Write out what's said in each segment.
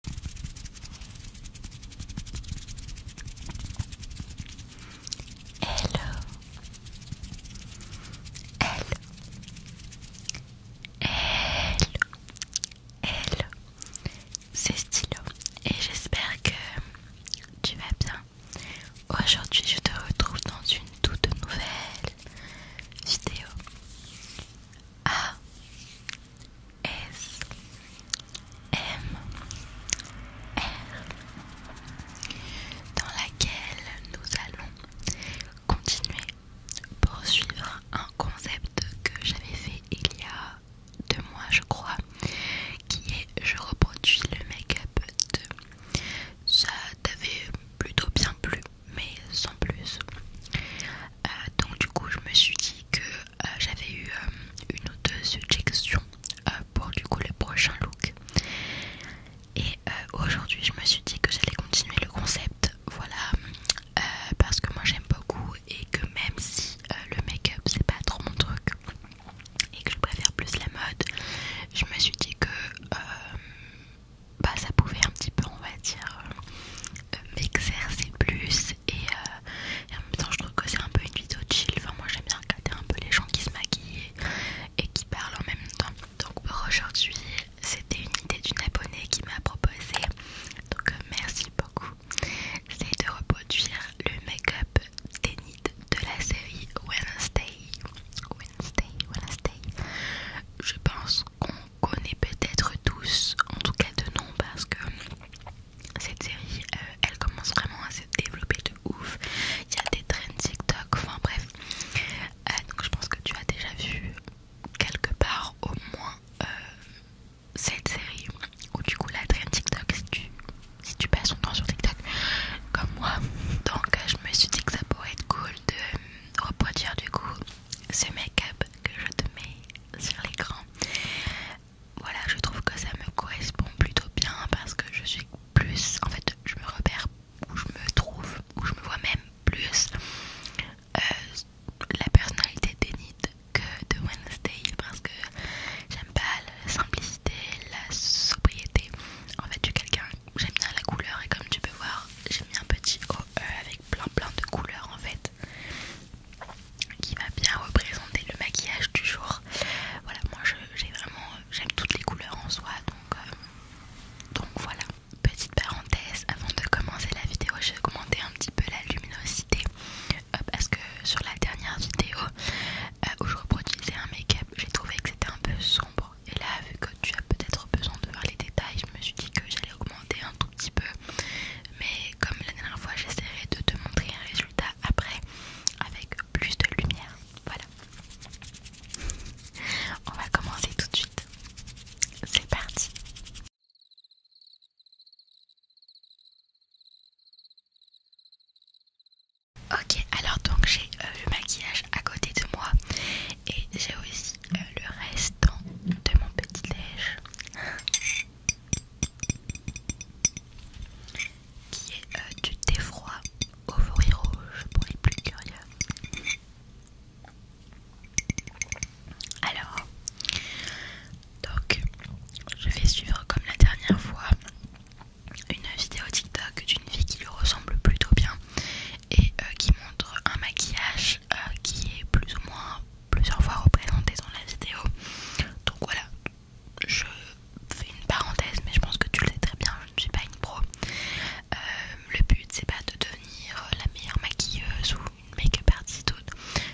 Hello. Hello. Hello. Hello. C'est Stylo et j'espère que tu vas bien. Aujourd'hui, je te retrouve dans une toute nouvelle vidéo. Ah, S M R dans laquelle nous allons continuer pour suivre un concept que j'avais fait il y a deux mois je crois qui est je reproduis le make-up de ça t'avait plutôt bien plu mais sans plus euh, donc du coup je me suis dit que euh, j'avais eu euh, une ou deux pour du coup le prochain look et aujourd'hui je me suis dit que j'allais continuer le concept voilà parce que moi j'aime beaucoup et que même si le make-up c'est pas trop mon truc et que je préfère plus la mode je me suis dit que bah ça pouvait un petit peu on va dire m'exercer plus euh, et, en même temps je trouve que c'est un peu une vidéo chill enfin moi j'aime bien regarder un peu les gens qui se maquillent et qui parlent en même temps donc pour aujourd'hui c'était une idée d'une abonnée qui m'a proposé donc euh, merci beaucoup c'est de reproduire le make-up nids de la série Wednesday Wednesday Wednesday je pense qu'on connaît peut-être tous, en tout cas de nom, parce que cette série euh, elle commence vraiment à se développer de ouf. Il y a des trends TikTok, enfin bref. Euh, donc je pense que tu as déjà vu quelque part au moins euh, cette série ou du coup la trend TikTok si tu, si tu passes ton temps sur TikTok comme moi. Donc je me suis dit que ça pourrait être cool de reproduire du coup ce make-up que je te mets sur l'écran. Voilà, je trouve que ça me correspond plutôt bien parce que je suis plus, en fait, je me repère où je me trouve, où je me vois même plus euh, la personnalité d'Enid que de Wednesday parce que j'aime pas la simplicité, la sobriété. En fait, du quelqu'un, j'aime bien la couleur et comme tu peux voir, j'ai mis un petit OE avec plein plein de couleurs en fait qui va bien représenter le maquillage du jour voilà moi j'ai vraiment j'aime toutes les couleurs en soi donc euh, donc voilà petite parenthèse avant de commencer la vidéo j'ai augmenté un petit peu la luminosité euh, parce que sur la dernière vidéo euh, où je reproduisais un make-up j'ai trouvé que c'était un peu sombre et là vu que tu as peut-être besoin de voir les détails je me suis dit que j'allais augmenter un tout petit peu mais comme la dernière fois j'essaierai de te montrer un résultat après avec plus de lumière voilà on va commencer tout de suite c'est parti Ok, alors donc j'ai euh, le maquillage à côté de moi et j'ai aussi euh, le restant de mon petit déj. qui est euh, du thé froid au rouge pour les plus curieux. Alors, donc, je vais suivre comme la dernière fois une vidéo TikTok d'une fille qui lui ressemble plutôt bien et euh, qui montre un maquillage euh, qui est plus ou moins plusieurs fois représenté dans la vidéo. Donc voilà, je fais une parenthèse, mais je pense que tu le sais très bien, je ne suis pas une pro. Euh, le but c'est pas de devenir la meilleure maquilleuse ou une make-up artiste,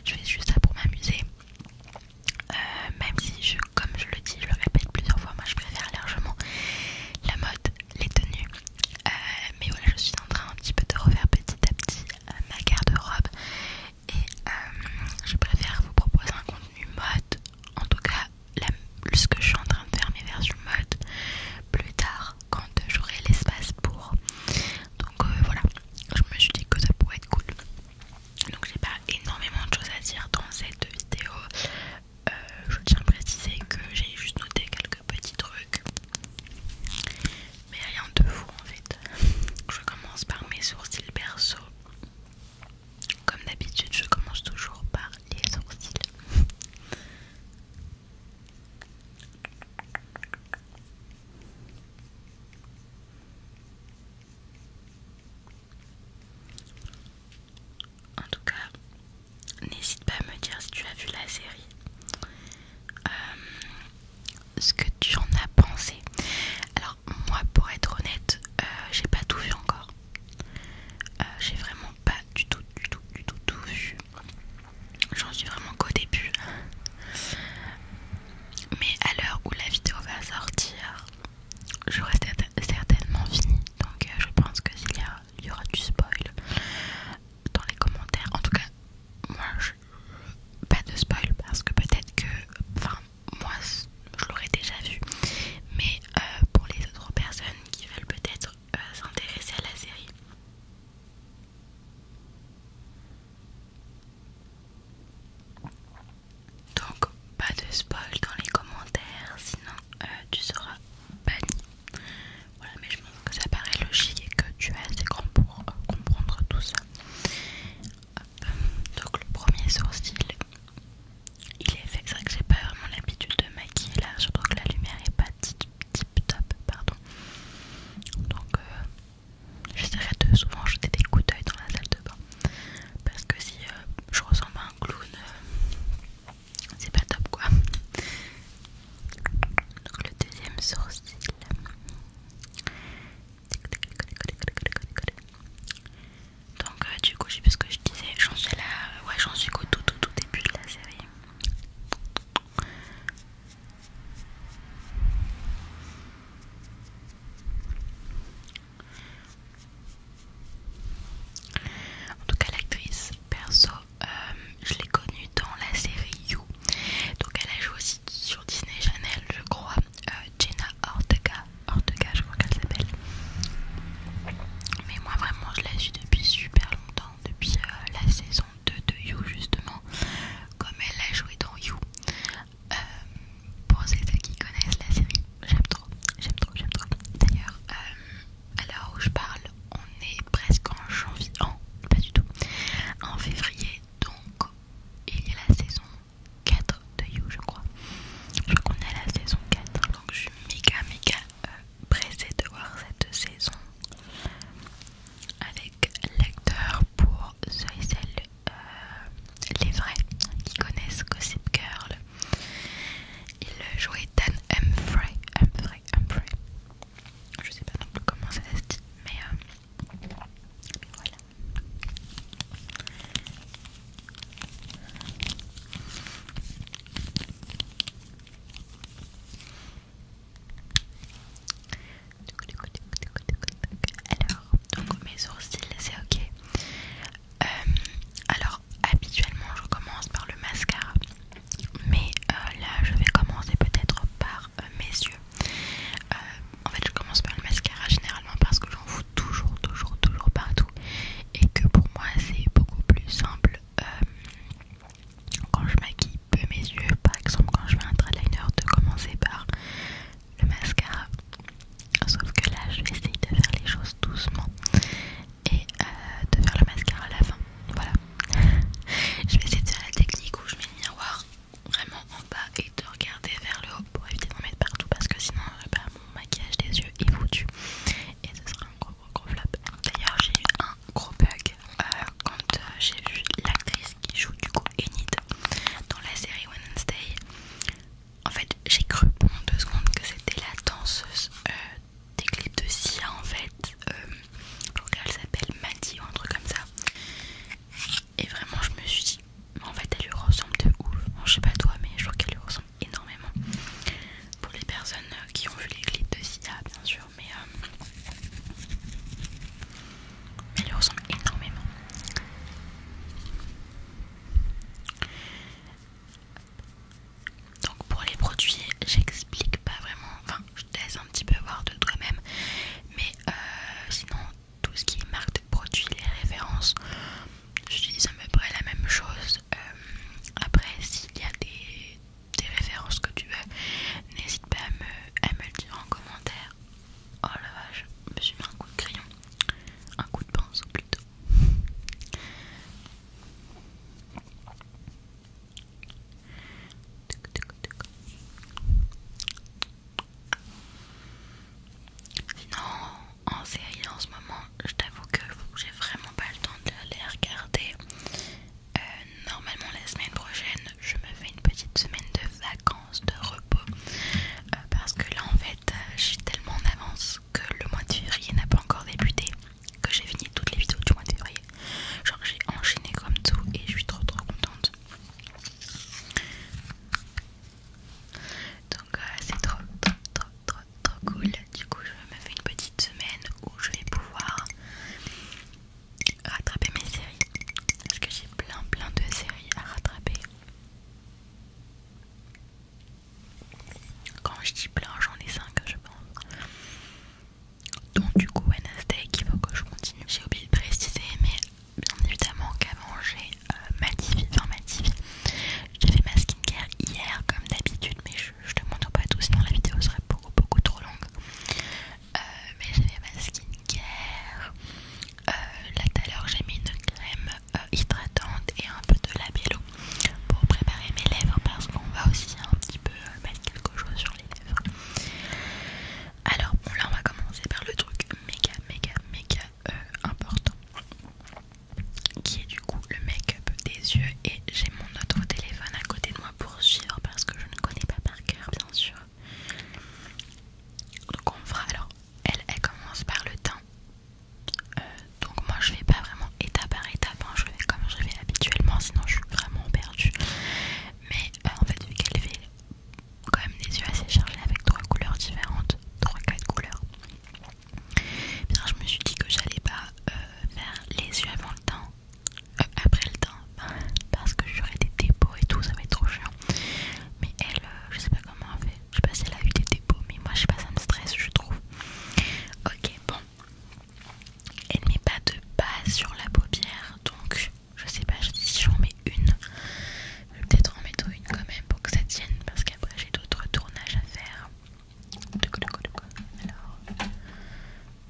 je fais juste ça pour m'amuser. Euh, même si, je, comme je le dis, je le répète plusieurs fois, moi je préfère largement la mode, les tenues. mais voilà, je suis en train un petit peu de refaire petit à petit euh, ma garde-robe et euh, je préfère vous proposer un contenu mode, en tout cas la, plus que je suis en train de faire mes versions mode plus tard quand j'aurai l'espace pour. Donc euh, voilà, je me suis dit que ça pourrait être cool. Donc j'ai pas énormément de choses à dire dans cette vidéo. je tiens à préciser que j'ai juste noté quelques petits trucs mais rien de fou en fait. Je commence par mes sourcils perso. Comme d'habitude, je commence toujours par les sourcils. En tout cas, n'hésite pas à me dire si tu as vu la série. Euh, ce que tu en as pensé. Alors moi pour être honnête, euh, j'ai pas tout vu encore. Euh, j'ai vraiment pas du tout, du tout, du tout, tout vu. J'en suis vraiment qu'au début. Mais à l'heure où la vidéo va sortir, j'aurai certainement fini. Donc euh, je pense que s'il y, y aura du spoil dans les commentaires, en tout cas moi je pas de spoil parce que peut-être que enfin moi je l'aurais déjà vu mais euh, pour les autres personnes qui veulent peut-être euh, s'intéresser à la série donc pas de spoil dans les commentaires sinon euh, tu seras banni voilà mais je pense que ça paraît logique et que tu as assez grand pour comprendre tout ça donc le premier sourcil, il est fait. C'est vrai que j'ai pas vraiment l'habitude de maquiller là, Surtout que la lumière est pas tip, top, pardon. Donc euh, j'essaierai de souvent jeter des coups d'œil dans la salle de bain. Parce que si euh, je ressemble à un clown, euh, c'est pas top quoi. Donc le deuxième sourcil, donc euh, du coup, je sais ce que je disais, j'en suis là, euh, ouais j'en suis qu'au tout, tout tout début de la série. En tout cas l'actrice perso, euh, je l'ai connue dans la série You donc elle a joué aussi sur Disney Channel, je crois, euh, Jenna Ortega, Ortega je crois qu'elle s'appelle. Mais moi vraiment je la suis depuis super longtemps, depuis euh, la saison 2 de You justement, comme elle a joué dans You. Euh, pour ceux qui connaissent la série, j'aime trop, j'aime trop, j'aime trop. D'ailleurs, à l'heure où je parle, on est presque en janvier, pas du tout, en février, donc il y a la saison 4 de You, je crois. Je crois qu'on est la saison 4, donc je suis méga méga euh, pressée de voir cette saison avec l'acteur pour The et euh, les vrais qui connaissent Gossip Girl. Il jouait Dan Humphrey, Humphrey, Humphrey. Je sais pas non plus comment ça se dit, mais, euh, voilà. Alors, donc mes sourcils, c'est ok. Euh, alors, habituellement, je commence par le mascara, mais euh, là, je vais commencer peut-être par mes yeux. Euh, en fait, je commence par le mascara généralement parce que j'en fous toujours, toujours, toujours partout et que pour moi c'est beaucoup plus simple euh, quand je maquille peu mes yeux, par exemple quand je fais un trade-liner, de commencer par le mascara. Sauf que là, je vais essayer de faire les choses doucement et euh, de faire le mascara à la fin. Voilà, je vais essayer de faire la technique où je mets le miroir vraiment en bas et de regarder vers le haut pour éviter d'en mettre partout parce que sinon pas mon maquillage des yeux est foutu et ce sera un gros gros gros flop. D'ailleurs j'ai eu un gros bug euh, quand euh, j'ai vu l'actrice qui joue du coup Enid dans la série Wednesday. En fait j'ai cru pendant deux secondes que c'était la danseuse euh, des clips de Sia en fait. Euh, je crois s'appelle Maddie ou un truc comme ça. Et vraiment, je me suis dit, en fait, elle lui ressemble de ouf. je sais pas toi, mais je trouve qu'elle lui ressemble énormément. Pour les personnes euh, qui ont vu les clips de Sia, bien sûr, mais euh, elle lui ressemble énormément. Donc pour les produits, j'explique pas vraiment laisse un petit peu voir de toi-même. Mais euh, sinon, tout ce qui est marque de produits, les références, j'utilise à peu près la même chose. Euh, après, s'il y a des, références que tu veux, n'hésite pas à me, me le dire en commentaire. Oh la vache, je me suis mis un coup de crayon, un coup de pinceau plutôt. Sinon, en série en ce moment, je t'avoue que j'ai vraiment pas le temps de les regarder. Euh, normalement, la semaine prochaine, je me fais une petite semaine de vacances, de repos. Euh, parce que là, en fait, euh, je suis tellement en avance que le mois de février n'a pas encore débuté. Que j'ai fini toutes les vidéos du mois de février. Genre, j'ai enchaîné comme tout et je suis trop trop contente. Donc euh, c'est trop, trop, trop, trop, trop cool. Du coup, je me fais une petite semaine où je vais pouvoir rattraper mes séries. Parce que j'ai plein, plein de séries à rattraper. Quand je dis plein, j'en ai 5, je pense. Donc, du coup, Wednesday, il faut que je continue. J'ai oublié de préciser, mais bien évidemment qu'à manger ma enfin ma J'ai fait ma skincare hier comme d'habitude, mais je, te montre pas tout, sinon la vidéo serait beaucoup beaucoup trop longue. Euh, mais j'ai fait ma skincare. Euh, là tout à l'heure j'ai mis une crème euh, hydratante et un peu de labello pour préparer mes lèvres parce qu'on va aussi un petit peu mettre quelque chose sur les lèvres. Alors bon là on va commencer par le truc méga méga méga euh, important qui est du coup le make-up des yeux et j'ai mon autre téléphone à côté de moi pour suivre parce que je ne connais pas par cœur bien sûr. Donc on fera alors elle elle commence par le teint. Euh, donc moi je vais pas vraiment étape par étape hein. je vais comme je fais habituellement sinon je suis vraiment perdue. Mais euh, en fait vu qu'elle fait quand même des yeux assez chargés avec trois couleurs différentes, trois quatre couleurs. Bien, je me suis dit que j'allais pas euh, faire les yeux avant le temps, euh, après le temps, parce que j'aurais des dépôts et tout, ça va être trop chiant. Mais elle, euh, je sais pas comment elle fait, je sais pas si elle a eu des dépôts, mais moi je sais pas, ça me stresse, je trouve. Ok, bon, elle met pas de base sur la paupière, donc je sais pas si j'en mets une peut-être en mettre une quand même pour que ça tienne parce qu'après j'ai d'autres tournages à faire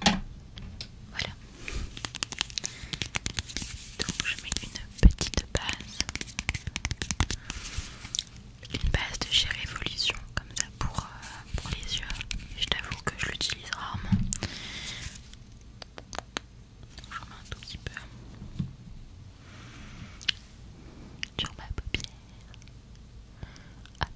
alors voilà donc je mets une petite base une base de chez Révolution comme ça pour, euh, pour les yeux je t'avoue que je l'utilise rarement je remets un tout petit peu sur ma paupière. Hop.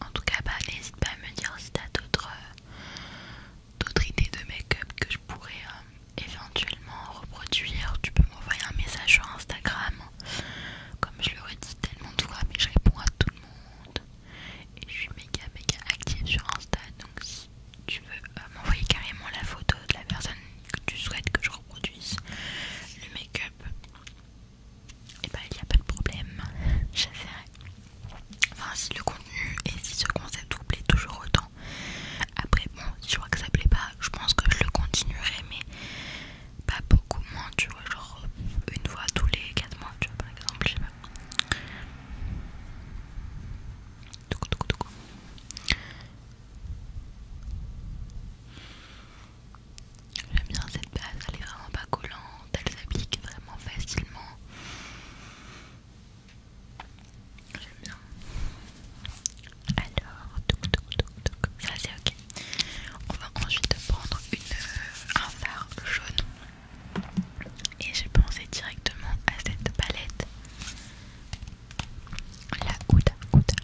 En tout cas, bah, n'hésite pas à me dire si t'as d'autres euh, d'autres idées de make-up que je pourrais euh, éventuellement reproduire, tu peux m'envoyer un message sur Instagram. Comme je l'aurais dit tellement de fois, mais je réponds à tout le monde. Et je suis méga méga active sur Insta. Donc si tu veux euh, m'envoyer carrément la photo de la personne que tu souhaites que je reproduise, le make-up, et eh bah ben, il n'y a pas de problème. J'essaierai. Enfin si le contenu et si ce concept vous plaît toujours autant, après, bon, si je vois que ça plaît pas, je pense que je le continuerai, mais pas beaucoup moins, tu vois, genre euh, une fois tous les 4 mois, tu vois, par exemple, je sais pas. J'aime bien cette base, elle est vraiment pas collante, elle s'applique vraiment facilement. J'aime bien. Alors, toc, toc, toc, ça c'est ok. On va ensuite prendre euh, un fard jaune. Et j'ai pensé directement à cette palette. La Ouda Ouda.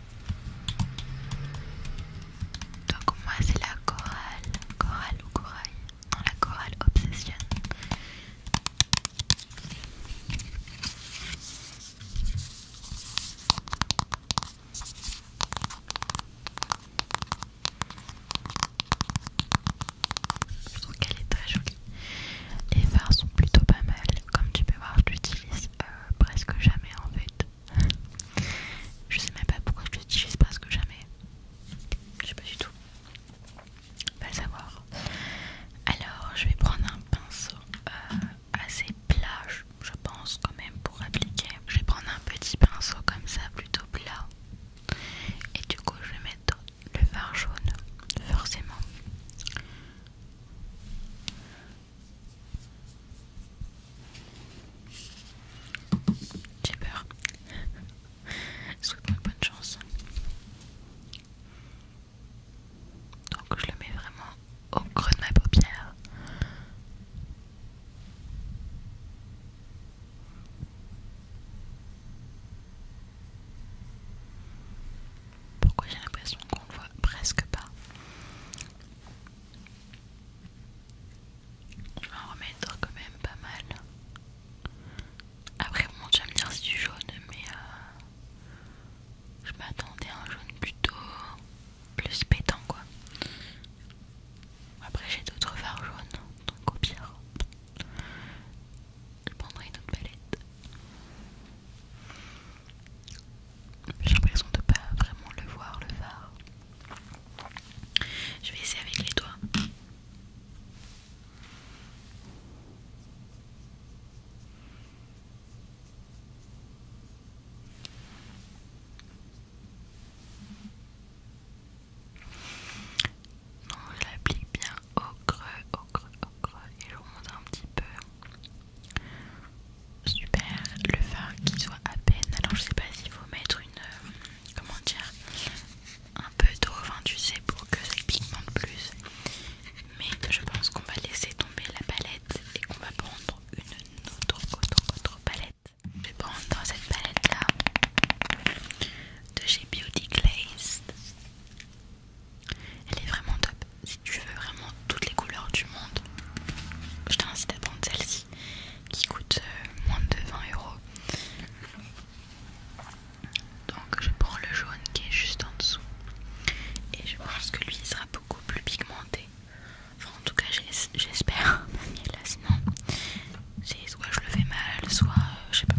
Donc moi c'est la Coral. corale ou Corail Non, la Coral Obsession. Je trouve qu'elle est très jolie. Les fards sont plutôt pas mal. Comme tu peux voir, je l'utilise euh, presque jamais en fait. je sais même pas pourquoi je l'utilise presque jamais. Je sais pas du tout. le savoir. Alors, je vais prendre un pinceau. Euh, assez plat, je pense, quand même, pour appliquer. Je vais prendre un petit pinceau comme ça, plutôt plat. Et du coup, je vais mettre le fard jaune, forcément. J'ai peur. Je souhaite bonne chance. Donc je le mets vraiment au creux de ma paupière. Pourquoi j'ai l'impression qu'on le voit presque pas Je vais en remettre quand même pas mal. Après, bon, tu me dire si c'est du jaune, mais euh, je m'attendais à un jaune plutôt plus pétant quoi. Après j'ai d'autres phares jaunes, donc au pire, je prendrai une autre palette. J'ai l'impression de pas vraiment le voir le phare. Je vais essayer avec les doigts. Non, je l'applique bien au creux, au creux, au creux et je remonte un petit peu. Super, le faire qui soit à peine. Alors je sais pas s'il faut mettre une... Euh, comment dire Un peu d'eau, enfin tu sais, pour que ça pigmente plus mais je pense qu'on va laisser tomber la palette et qu'on va prendre une autre, autre, autre palette. Je vais prendre dans cette palette là de chez Beauty Glazed. Elle est vraiment top. Si tu veux vraiment toutes les couleurs du monde, je t'invite à prendre celle-ci qui coûte euh, moins de 20 euros. Donc je prends le jaune qui est juste en dessous et je pense que lui il sera beaucoup plus pigmenté. en tout cas, j'espère. Là, sinon, soit je le fais mal, soit euh, je sais pas.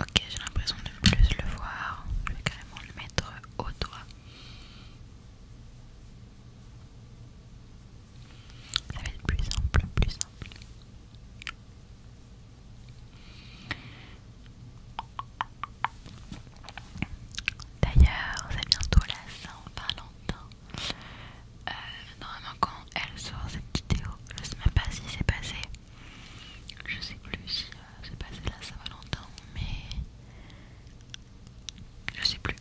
Ok, j'ai l'impression de plus le voir. Je vais carrément le mettre au doigt. Ça va être plus simple, plus simple. D'ailleurs, c'est bientôt la Saint-Valentin. Euh, normalement, quand elle sort cette vidéo, je sais même pas si c'est passé. Je sais plus si euh, c'est passé la Saint-Valentin, mais je sais plus.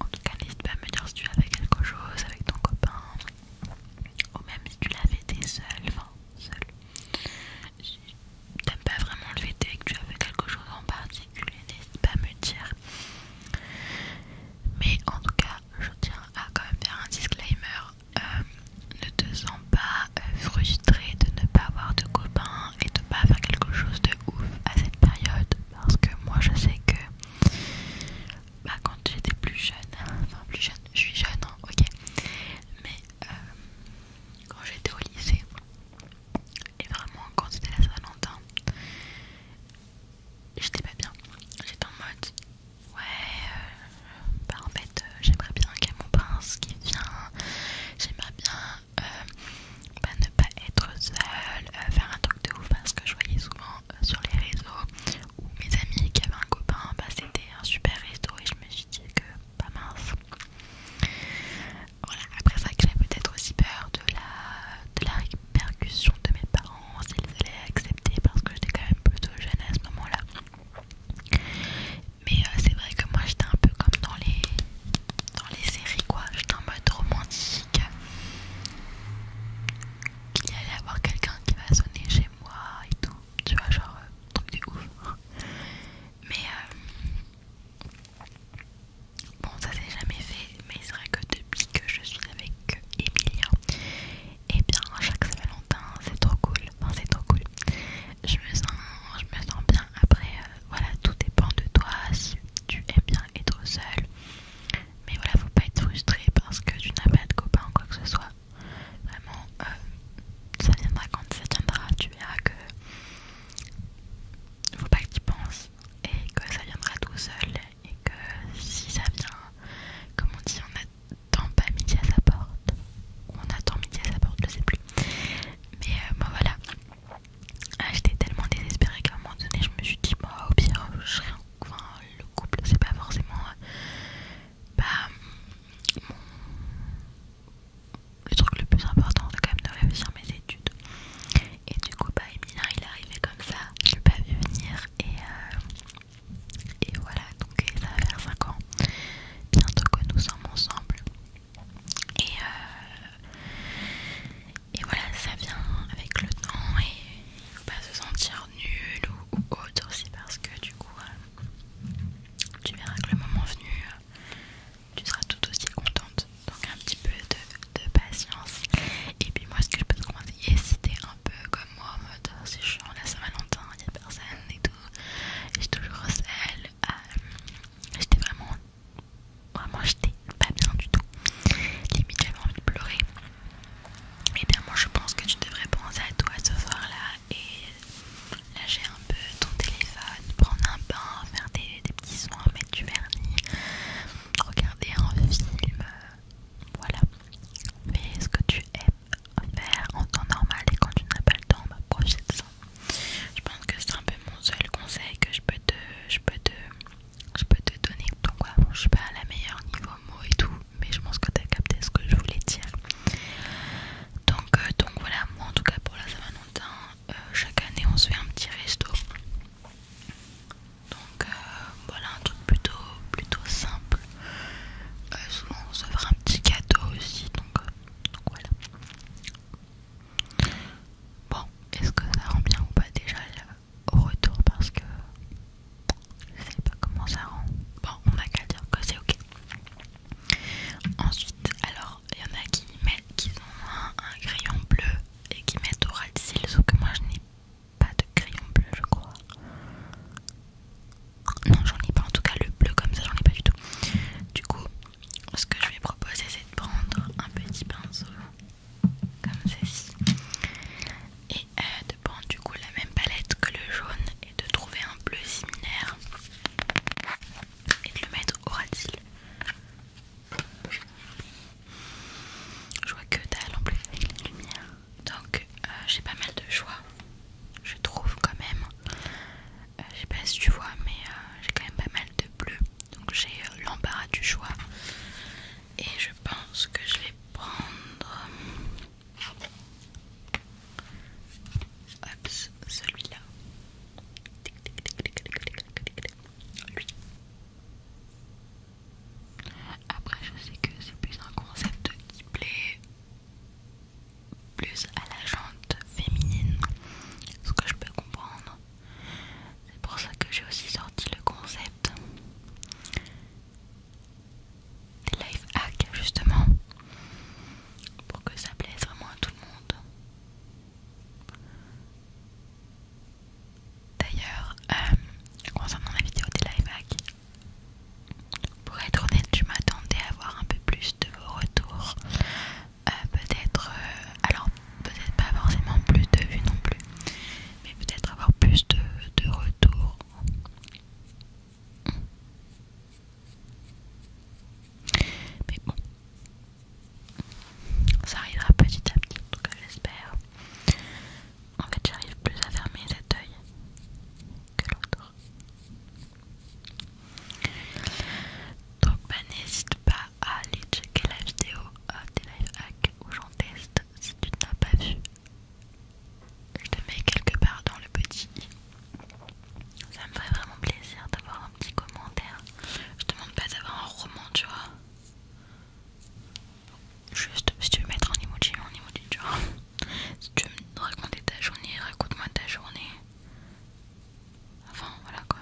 En tout cas, n'hésite pas à me dire si tu avais quelque chose avec ton copain, ou même si tu l'avais été seul, enfin, seul. n'aimes pas vraiment le et que tu avais quelque chose en particulier, n'hésite pas à me dire. Mais en tout cas, je tiens à quand même faire un disclaimer. Euh, ne te sens pas euh, frustrée de ne pas avoir de copain et de pas faire quelque chose de ouf à cette période parce que moi je sais que bah, quand j'étais plus jeune, enfin plus jeune, je suis jeune, hein, ok, mais euh, quand j'étais au lycée, et vraiment quand c'était la Saint-Valentin, j'étais pas bien. J'étais en mode, ouais, euh, bah en fait, euh, j'aimerais bien qu'il y ait mon prince qui vient, j'aimerais bien ne pas être seule, euh, faire un truc de ouf parce que je voyais souvent euh, sur les réseaux où mes amis qui avaient un copain, bah, c'était un super réseau et je me suis dit que pas mince. Voilà, après ça j'avais peut-être aussi peur de la, de la répercussion de mes parents s'ils allaient accepter parce que j'étais quand même plutôt jeune à ce moment-là. Mais euh, c'est vrai que moi j'étais un peu comme dans les, dans les séries quoi, j'étais en mode romantique, qu'il y allait avoir quelqu'un qui va sonner chez moi et tout, tu vois, genre euh, truc du ouf. Mais euh, bon, ça s'est jamais fait, mais il serait que depuis que je suis avec Emilia, et eh bien chaque Saint-Valentin, c'est trop cool. Enfin, c'est trop cool. Je me sens, je me sens bien. Après, euh, voilà, tout dépend de toi si tu aimes bien être seul. Mais voilà, faut pas être frustré parce que tu n'as pas de copains ou quoi que ce soit. Vraiment, euh, ça viendra quand ça viendra. Tu verras que faut pas que tu penses et que ça viendra tout seul. Et que si ça vient, comme on dit, on attend pas midi à sa porte. On attend midi à sa porte, je sais plus. Mais euh, bon voilà, ah, j'étais tellement désespérée qu'à un moment donné, je me suis dit, bah, au pire, je serai le couple, c'est pas forcément euh, bah, le truc le plus important, c'est quand même de réussir hein, mes études. Et du coup, bah, il est arrivé comme ça, je l'ai pas vu venir, et, euh, et voilà, donc ça fait faire 5 ans bientôt que nous sommes ensemble. Et, euh, et voilà, ça vient avec le temps et faut pas se sentir nul ou, autre aussi parce que du coup, euh, tu verras que le moment venu, euh, tu seras tout aussi contente. Donc un petit peu de, patience. Et puis moi, ce que je peux te conseiller, un peu comme moi, en mode je suis en la Saint-Valentin, il n'y a personne et tout, j'ai toujours celle. Euh, j'étais vraiment Vraiment, j'étais pas bien du tout. Limite, j'avais envie de pleurer. Et eh bien, moi, je pense que tu devrais penser à toi ce soir-là et lâcher un peu ton téléphone, prendre un bain, faire des, petits soins, mettre du vernis, regarder un film. Euh, voilà. Fais ce que tu aimes faire en temps normal et quand tu n'as pas le temps, bah, de ça. Je pense que c'est un peu mon seul conseil que je peux je peux te, je peux te donner. Donc voilà, je suis pas à la meilleure niveau mots et tout, mais je pense que tu as capté ce que je voulais dire. Donc, euh, donc voilà, moi en tout cas pour la Saint-Valentin, euh, chaque année on se fait un petit resto. Donc euh, voilà un truc plutôt plutôt simple. souvent on se fera un petit cadeau aussi. Donc, donc voilà. Bon, est-ce que ça rend bien ou pas déjà au retour parce que je sais pas comment ça rend. Bon, on n'a qu'à dire que c'est ok. Ensuite, alors il y en a qui mettent qui ont un, crayon bleu et qui mettent au ras que moi je n'ai pas de crayon bleu, je crois. Non, j'en ai pas, en tout cas le bleu comme ça, j'en ai pas du tout. Du coup, ce que je vais proposer, c'est de prendre un petit pinceau comme ceci et euh, de prendre du coup la même palette que le jaune et de trouver un bleu similaire et de le mettre au radil je vois que dalle en avec la lumière donc euh, j'ai pas mal de choix je trouve quand même euh, je sais pas si tu vois mais j'ai quand même pas mal de bleu donc j'ai l'embarras du choix. Et je pense que je vais prendre celui-là. Après je sais que c'est plus un concept qui plaît plus à la jante féminine. Ce que je peux comprendre. C'est pour ça que j'ai aussi sorti le concept des life hacks justement pour que ça plaise vraiment à tout le monde. D'ailleurs, euh, concernant la vidéo des live hacks, pour être honnête, je m'attendais à avoir un peu plus de vos retours. Euh, peut-être, euh, alors peut-être pas forcément plus de vues non plus, mais peut-être avoir plus de, retours. Mais bon, ça arrivera petit à petit, en tout cas j'espère. En fait, j'arrive plus à fermer cet œil que l'autre. Donc, bah, n'hésite pas Allez checker la vidéo euh, des live où j'en teste si tu n'as pas vu. Je te mets quelque part dans le petit Ça me ferait vraiment plaisir d'avoir un petit commentaire. Je te demande pas d'avoir un roman, tu vois. Juste si tu veux mettre un emoji, un emoji, tu vois. Si tu veux me raconter ta journée, raconte-moi ta journée. Enfin, voilà quoi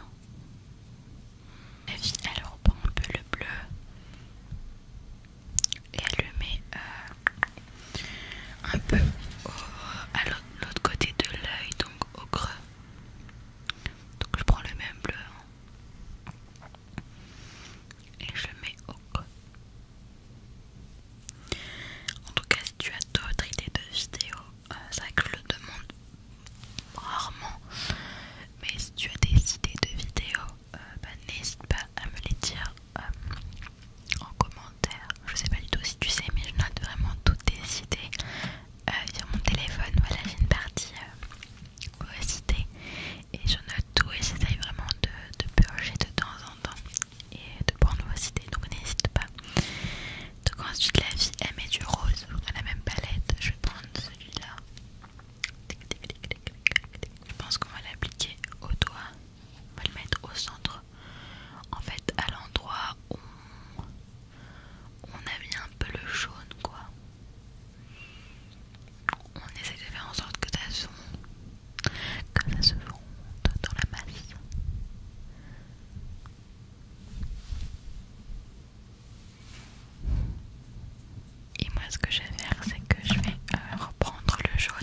et elle reprend un peu le bleu et elle le met euh, un peu à l'autre côté de l'œil, donc au creux. Donc je prends le même bleu hein. et je le mets au creux. En tout cas, si tu as d'autres idées de vidéo euh, c'est vrai que je le demande rarement. Mais si tu as des idées de vidéos, euh, bah, n'hésite pas à me les dire euh, en commentaire. Je sais pas du tout si tu sais, mais je note vraiment toutes tes idées sur euh, mon téléphone. Voilà, j'ai une partie euh, idées et j'en ai tout et j'essaye vraiment de, de purger de temps en temps et de prendre vos idées. Donc n'hésite pas. Donc ensuite la vie, aime du rose à la même palette. Je vais prendre celui-là. Je pense qu'on va l'appliquer au doigt. On va le mettre au centre. En fait, à l'endroit où on a mis un peu le jaune, quoi. On essaie de faire en sorte que ça se fonde, ça se dans la masse. Et moi ce que je vais faire c'est que je vais euh, reprendre le jaune.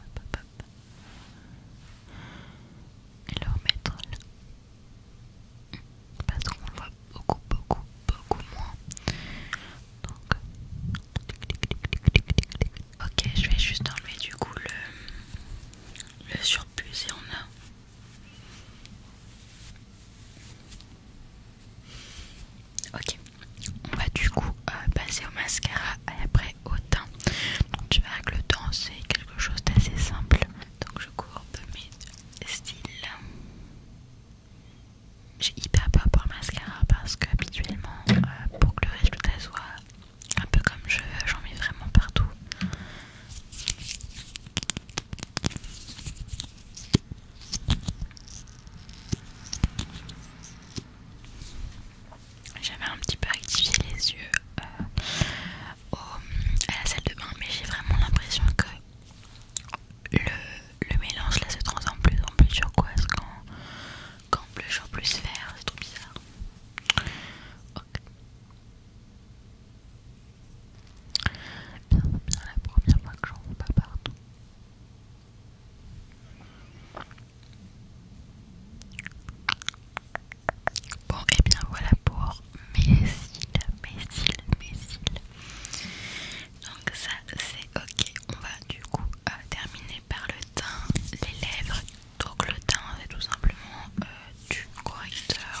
Hop, Et le remettre là. Parce qu'on le voit beaucoup, beaucoup, beaucoup moins. Donc. Ok, je vais juste enlever du coup le, le surplus et on a Ok, on va du coup euh, passer au mascara et après au teint. Donc, tu verras que le teint c'est quelque chose d'assez simple. Donc je peu mes styles. J'ai hyper peur pour le mascara parce que habituellement euh, pour que le résultat soit un peu comme je veux, j'en mets vraiment partout. J'avais un petit peu activé les yeux euh, à la salle de bain, mais j'ai vraiment l'impression que le, mélange là se transforme plus en plus turquoise quand, quand bleu en plus vert, c'est trop bizarre. ok Bien, bien la première fois que j'en vois pas partout. Bon, et eh bien voilà pour mes cils, mes cils, mes cils. Donc ça c'est ok. On va du coup euh, terminer par le teint, les lèvres. Donc le teint c'est tout simplement euh, du correcteur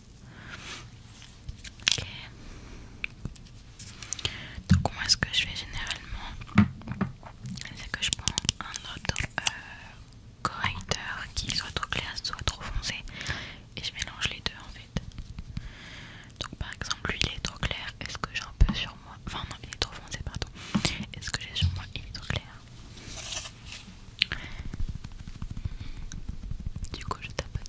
Ok. Donc moi ce que je fais généralement, c'est que je prends un autre euh, correcteur qui soit trop clair, soit trop foncé, et je mélange les deux en fait. Donc par exemple lui il est trop clair, est-ce que j'ai un peu sur moi, enfin non il est trop foncé pardon, est-ce que j'ai sur moi il est trop clair du coup, je tapote.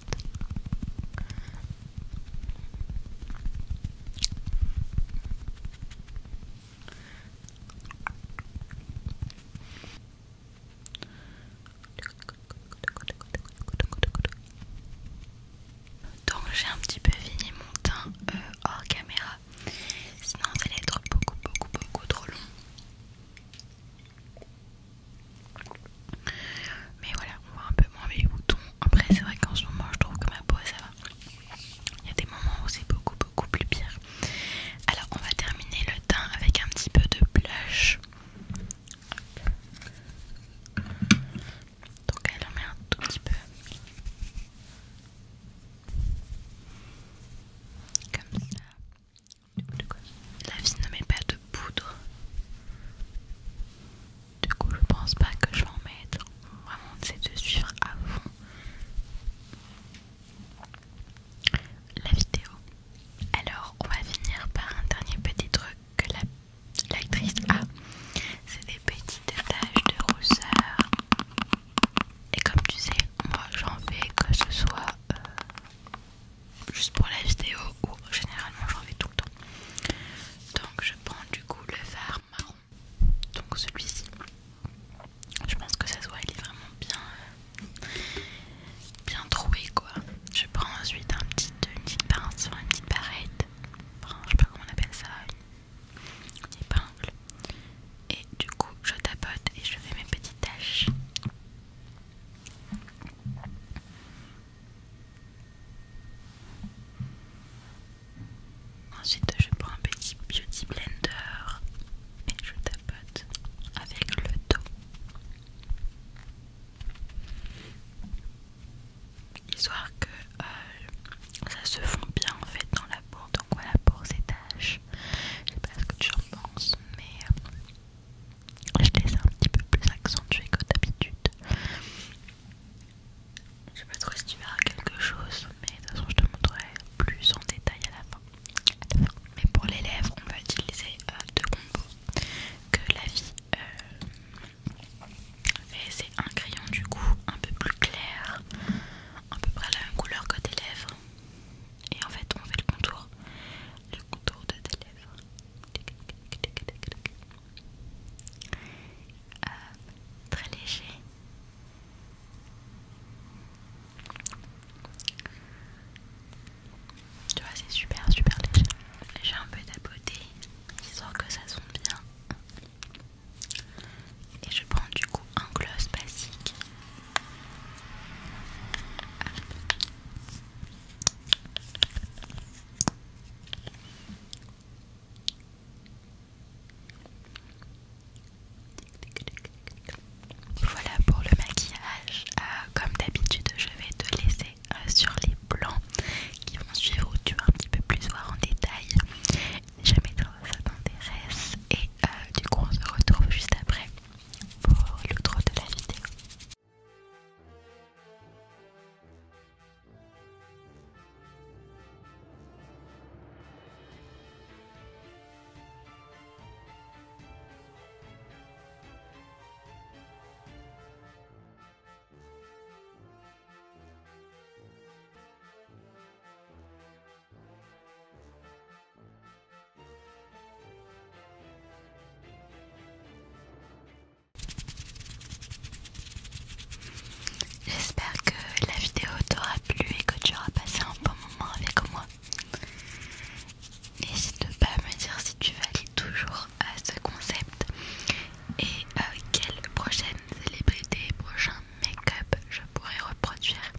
Donc j'ai un petit peu fini mon teint euh, hors caméra, sinon ça allait être beaucoup beaucoup beaucoup trop long. Mais voilà, on voit un peu moins mes boutons. Après, c'est vrai qu'en ce moment, je trouve que ma peau ça va. Il y a des moments où c'est beaucoup, beaucoup plus pire. Alors, on va terminer le teint avec un petit peu de blush. Donc, elle en met un tout petit peu. Comme ça. La vie ne met pas de poudre. Du coup, je pense pas que je vais en mettre. Vraiment, c'est de suivre à fond la vidéo. Alors, on va finir par un dernier petit truc que l'actrice a. C'est des petites taches de rousseur. Et comme tu sais, moi j'en fais que ce soit euh, juste pour la vidéo où généralement j'en vais tout le temps. Donc je prends du coup le fard marron, donc celui-ci. Je pense que ça se voit, il est vraiment bien, euh, bien troué quoi. Je prends ensuite un petit, une petite pince, une petite barrette, je sais pas comment on appelle ça, une épingle. Et du coup je tapote et je fais mes petites taches. Ensuite, je prends un petit beauty blender et je tapote avec le dos. Histoire que euh, ça se fond bien en fait dans la peau, donc voilà pour ces taches Je sais pas ce que tu en penses, mais euh, je te laisse un petit peu plus accentué que d'habitude. Je sais pas trop si tu verras quelque chose, mais de toute façon je te montrerai plus en détail à la fin. Mais pour les lèvres, on va utiliser euh, deux combos que la vie euh, C'est un crayon du coup un peu plus clair, à peu près la même couleur que des lèvres et en fait on fait le contour le contour de tes lèvres euh, très léger tu vois c'est super super léger j'ai un peu tapoté histoire que ça sonne bien et je prends du coup un gloss basique voilà pour le maquillage. Euh, comme d'habitude, je vais te laisser euh, sur les plans qui vont suivre où tu vas un petit peu plus voir en détail. Jamais ça t'intéresse. Et euh, du coup, on se retrouve juste après pour le droit de la vidéo. J'espère que la vidéo t'aura plu et que tu auras passé un bon moment avec moi. N'hésite pas à me dire si tu valides toujours à ce concept et euh, quelle prochaine célébrité, prochain make-up je pourrais reproduire.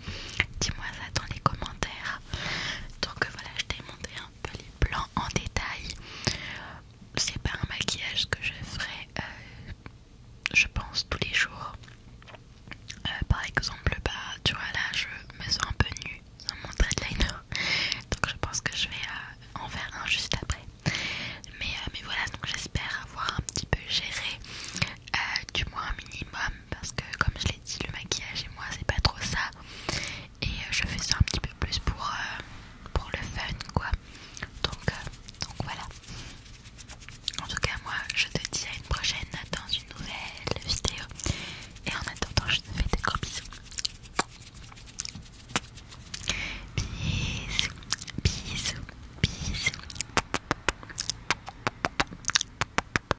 Dis-moi ça dans les commentaires. Donc euh, voilà, je t'ai montré un peu les plans en détail. C'est pas un maquillage que je ferai, euh, je pense, tous les jours. Euh, par exemple, bah, tu vois là, je me sens un peu nue sans mon Donc je pense que je vais en faire un juste après. Mais, mais voilà, donc j'espère avoir un petit peu géré, du moins un minimum, parce que comme je dit, le maquillage et moi c'est pas trop ça. Et euh, je fais ça un petit peu plus pour, euh, pour le fun quoi. Donc, euh, donc voilà. En tout cas moi je te dis à une prochaine dans une nouvelle vidéo. Et en attendant je te fais des gros bisous. Bisous, bisous, bisous.